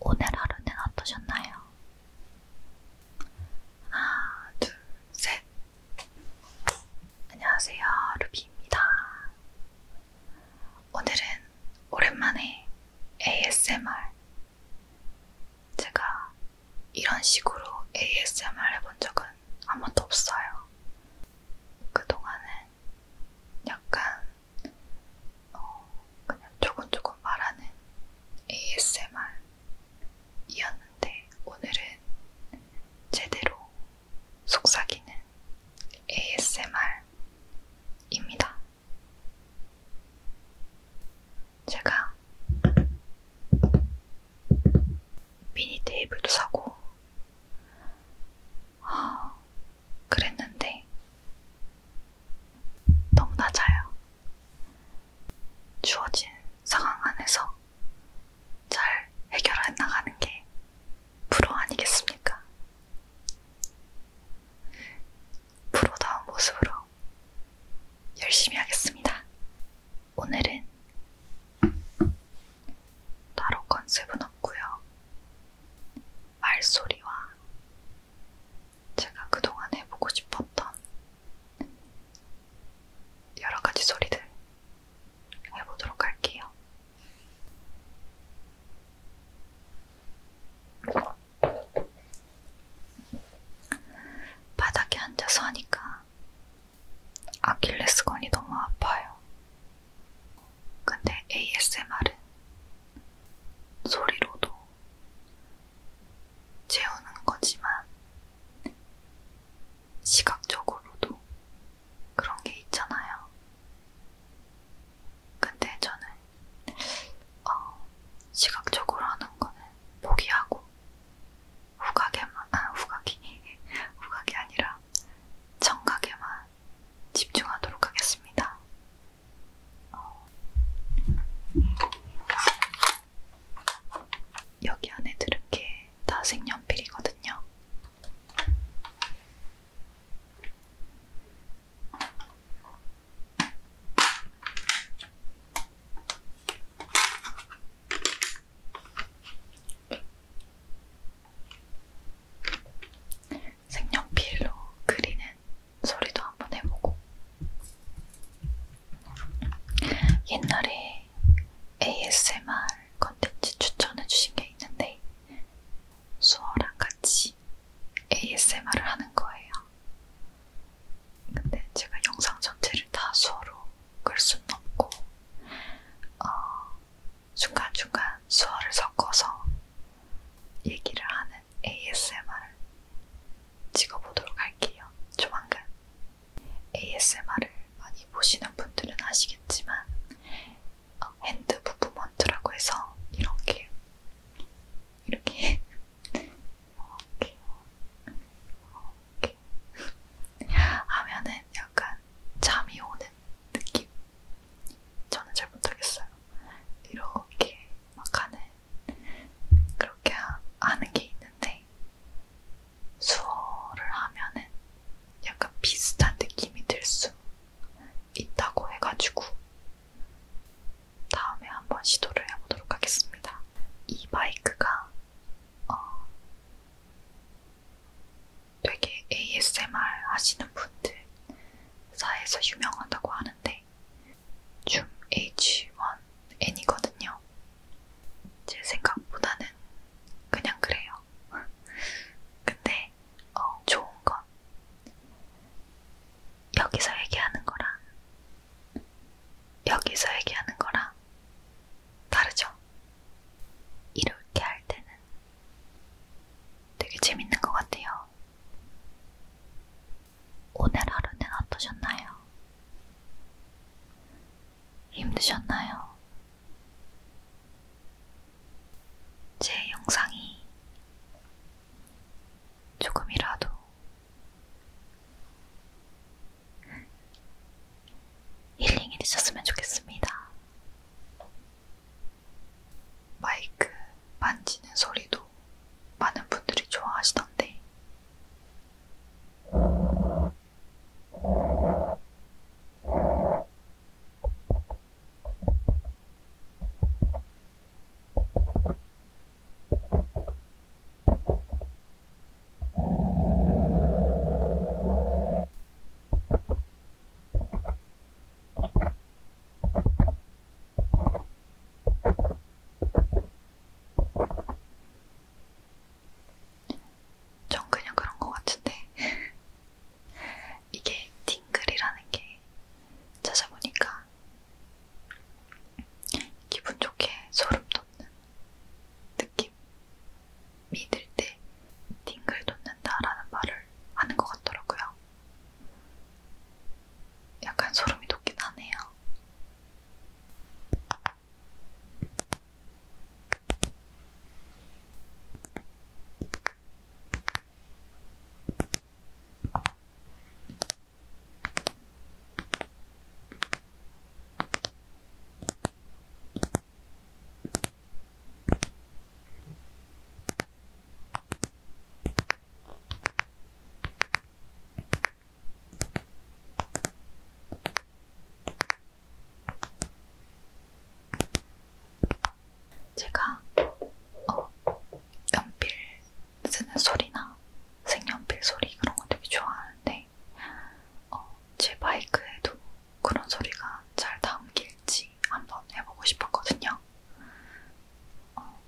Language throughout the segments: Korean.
오늘 하루는 어떠셨나요? 하나, 둘, 셋. 안녕하세요, 루비입니다. 오늘은 오랜만에 ASMR. 제가 이런 식으로 ASMR 해본 적은 한 번도 없어요. 그동안은 약간 어, 그냥 조금조금 말하는 ASMR이었는데 오늘은 제대로 속삭이는 ASMR입니다. 제가 미니 테이블도 사고 아, 그랬는데 너무 낮아요. 주어진 상황 안에서 잘 해결해 나가는 게 프로 아니겠습니까? 프로다운 모습으로 열심히 하겠습니다. 오늘은 따로 컨셉은 없고요. 말소리와 제가 그동안 해보고 싶었던 여러 가지 소리들 해보도록 할게요. 바닥에 앉아서 하니까 아킬레스건이 너무 아파요. 근데 ASMR은 소리로도 재우는 거지만 시각적으로도 그런 게 있잖아요. 근데 저는 어, 시각적으로 하는 거는 포기하고 후각에만, 아, 후각이, 후각이 아니라 청각에만 집중하도록 하겠습니다. 어. 여기 안에 들은 게다 색연필이거든요. 색연필로 그리는 소리도 한번 해보고 옛날에 ASMR 컨텐츠 추천해주신 게 있는데 수어랑 같이 ASMR을 하는 거예요. 근데 제가 영상 전체를 다 수어로 끌 수는 없고 어, 중간중간 수어를 섞어서 얘기를 하는 ASMR을 찍어보도록 할게요. 조만간 ASMR을 많이 보시는 분들은 아시겠지만 어, 핸드 무브먼트라고 해서 이렇게 이렇게 이렇게 이렇게 하면은 약간 잠이 오는 느낌 저는 잘 못하겠어요. 이렇게 막 하는 그렇게 하, 하는 게 있는데 수어를 하면은 약간 비슷한 느낌이 들 수 있다고 해가지고 다음에 한번 시도를 해보도록 하겠습니다. 이 바이크가 어, 되게 ASMR 하시는 분들 사에서 유명하다고 하는데 줌 H1N이거든요. 제 생각보다는 그냥 그래요. 근데 어, 좋은 건 여기서 얘기하는 거랑 여기서 얘기하는 거랑 다르죠? 이렇게 할 때는 되게 재밌는 것 같아요. 오늘 하루는 어떠셨나요? 힘드셨나요? 제 영상이 조금이라도 힐링이 되셨으면 좋겠습니다. 마이크 만지는 소리도 많은 분들이 좋아하시던데, 전 그냥 그런 것 같은데 이게 팅글이라는 게 찾아보니까 기분 좋게 소름 돋는 돋는 느낌. 믿을 때 팅글 돋는다라는 말을 하는 것 같더라고요. 약간 소름이 돋긴 하네요. 제가 어, 연필 쓰는 소리나 색연필 소리 그런 거 되게 좋아하는데 있는데 어, 제 마이크에도 그런 소리가 잘 담길지 한번 해보고 싶었거든요. 어.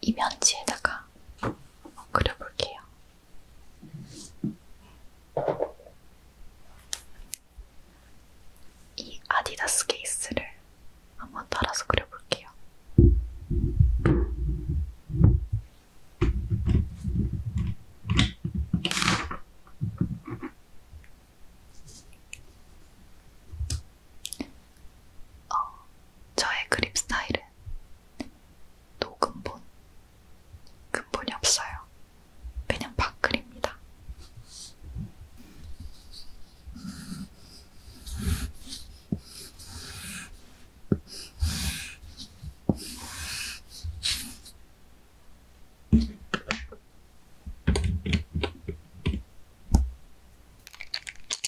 이 면지에다가 어, 그려볼게요. 이 아디다스 케이스를 한번 따라서 그려볼게요. 어, 저의 그립 스타일은 노근본, 근본이 없어요. 그냥 밥글입니다.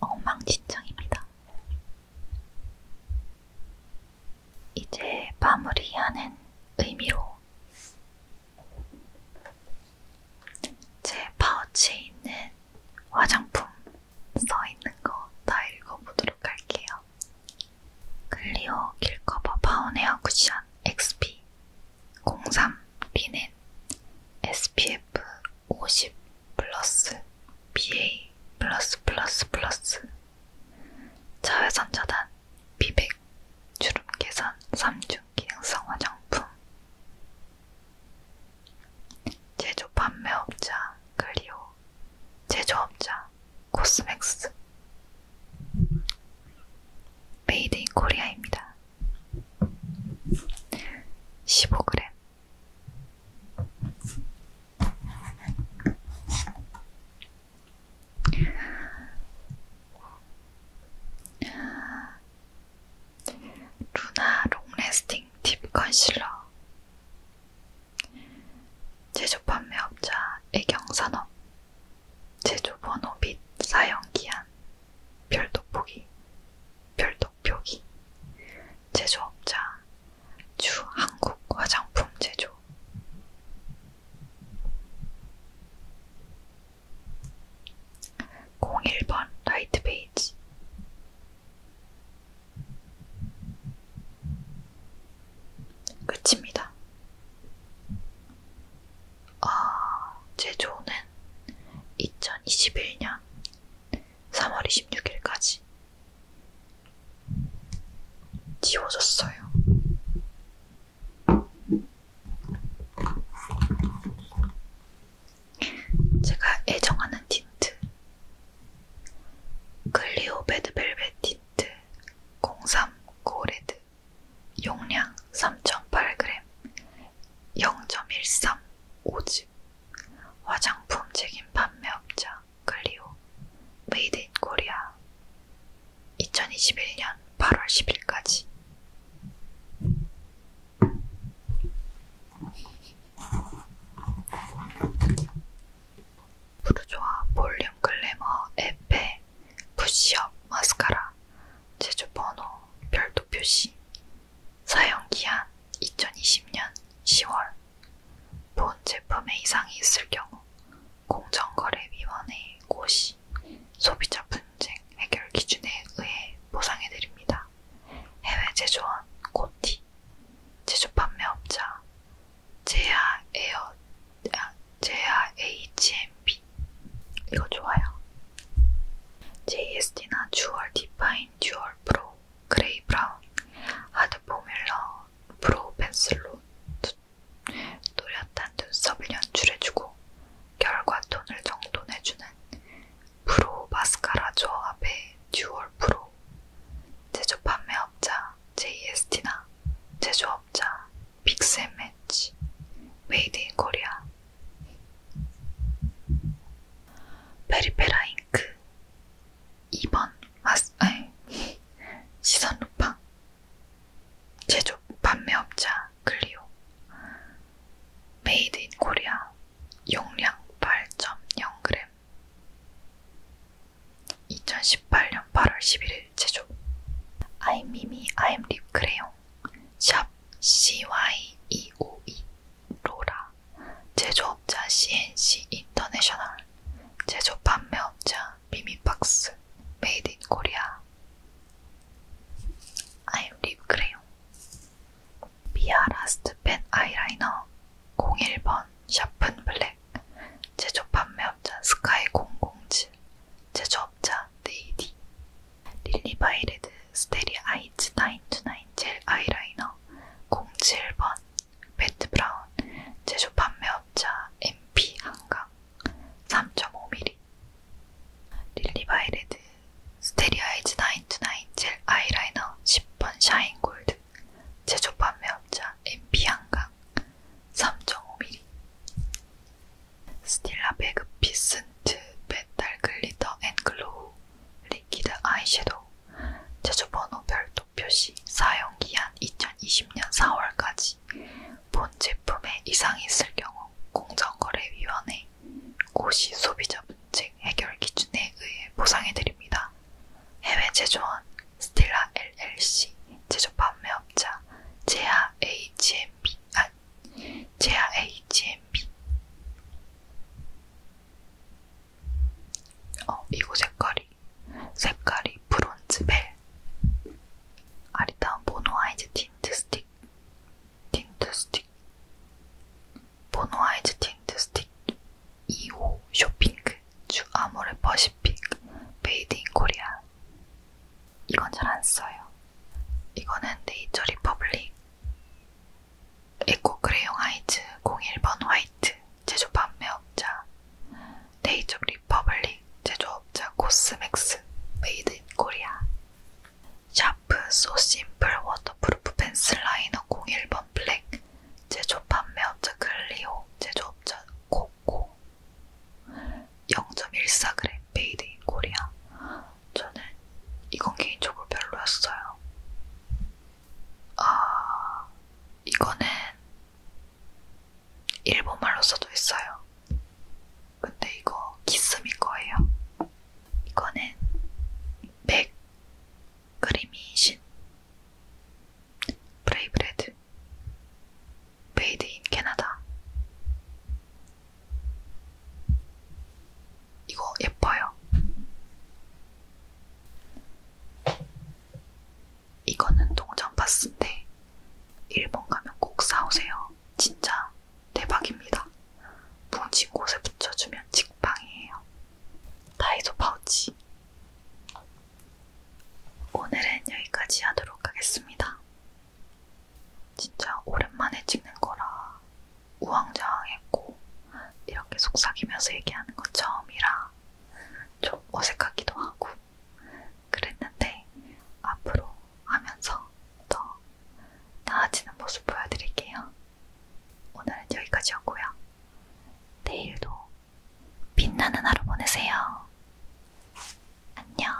엉망진창입니다. 이제 마무리하는 의미로 제 파우치에 있는 화장품 써있는 거 다 읽어보도록 할게요. 클리오 길커버 파운헤어 쿠션 XP 03 리넨 SPF 50 플러스 BA 플러스 플러스 플러스 자외선 차단 비백 주름개선 3중 기능성 화장품 제조 판매업자 그리오 제조업자 코스맥스 메이드 인 코리아입니다. 15g 루나 롱래스팅 딥 컨실러 제조 판매업자 애경산업 제조 번호 및 사용 기한 별도 포기 별도 표기 제조업자 주 한국 화장품 제조 01번 라이트 베이지 '끝입니다. 아, 제조는 2021년 3월 26일까지 지워졌어요. 제가 애정하는 틴트 클리오 베드벨벳 틴트 03 고레드 용량 3.8g 0.13 5즈 화장품 책임 판매업자 코리아 클리오 메이드 인 코리아 2021년 8월 10일까지 부르조아 볼륨 글래머 에페 푸시업 마스카라 제조번호 별도 표시 사용기한 2020년 10월 본 제품에 이상이 있을 경우 공정거래위원회의 고시, 소비자 분쟁 해결 기준에 의해 보상해드립니다. 해외 제조원 고티, 제조 판매업자 제아 에어 아, 제아 HMP 이거 좋아요. JSD나 주얼 디파인 듀얼 프로 그레이 브라운 하드 포뮬러 프로 펜슬로 또렷한 눈썹을 연출해주고 결과 톤을 정돈해주는 프로 마스카라 조합의 듀얼 프로 제조 판매업자 JST나 제조업자 빅스앤매치 메이드 인 코리아 페리페라 잉크 2번 마스, 아니, 시선 루팡 제조 판매업자 클리오 메이드 인 코리아 용량 8.0g 2018년 8월 11일 제조 아이미미 아임 립 크레용 샵 CY252 로라 제조업자 CNC 인터내셔널 제조 판매업자 미미박스 메이드 인 코리아 아임 립 크레용 미아 라스트 펜 아이라이너 01번 샤픈 블랙 제조 판매업자 스카이 007 제조업자 네이디 릴리바이레드 스테리 아이츠 929젤 아이라이너 07번 배트 브라운 제조 판매업자 MP 한강 3.5mm 릴리바이 레드 스테리아이즈 929젤 아이라이너 10번 샤인 골드 제조 판매업자 MP 한강 3.5mm 스틸라 베그 피슨트 메탈 글리터 앤글로우 리퀴드 아이섀도우 제조 번호 별 표시 사용기한 2020년 4월까지 본 제품에 이상이 있을 경우 공정거래위원회 고시 소비자 문제 해결 기준에 의해 보상해드립니다. 해외 제조원 스틸라 LLC 제조 판매업자 제아 HMB 아 제아 HMB 어, 이거 색깔이 색깔이 브론즈 벨 아리따운 보노아이즈 틴트 스틱 틴트 스틱 보노아이즈 틴트 스틱 2호 쇼핑크 주 아모레 퍼시픽 베이드 인 코리아 이건 잘 안 써요. 이거는 네이처 리퍼블릭 에코 그레용 하이즈 01번 화이트 제조 판매업자 네이처 리퍼블릭 제조업자 코스맥스 메이드 인 코리아 샤프 소 심플 워터프루프 펜슬 라이너 01번 블랙 제조 판매업자 글리오 제조업자 코코 0.14g 메이드 인 코리아 저는 이건 개인적으로 별로였어요. 아, 이거는 일본말로 써도 있어요. 근데 이거 기스미 거예요. 이거는 맥 크리미신 브레이브레드 메이드 인 캐나다 이거 예뻐요. 이거는 동전 파스인데 일본 가면 꼭 사오세요. 진짜 대박입니다. 뭉친 곳에 붙여주면 직방이에요. 다이소 파우치. 오늘은 여기까지 하도록 하겠습니다. 진짜 오랜만에 찍는 거라 우왕좌왕했고 이렇게 속삭이면서 얘기하는 건 처음이라 좀 어색하기도 하고 그랬는데 앞으로 하면서 더 나아지는 모습 보여드릴게요. 오늘은 여기까지였고요. 내일도 빛나는 하루 보내세요. 안녕.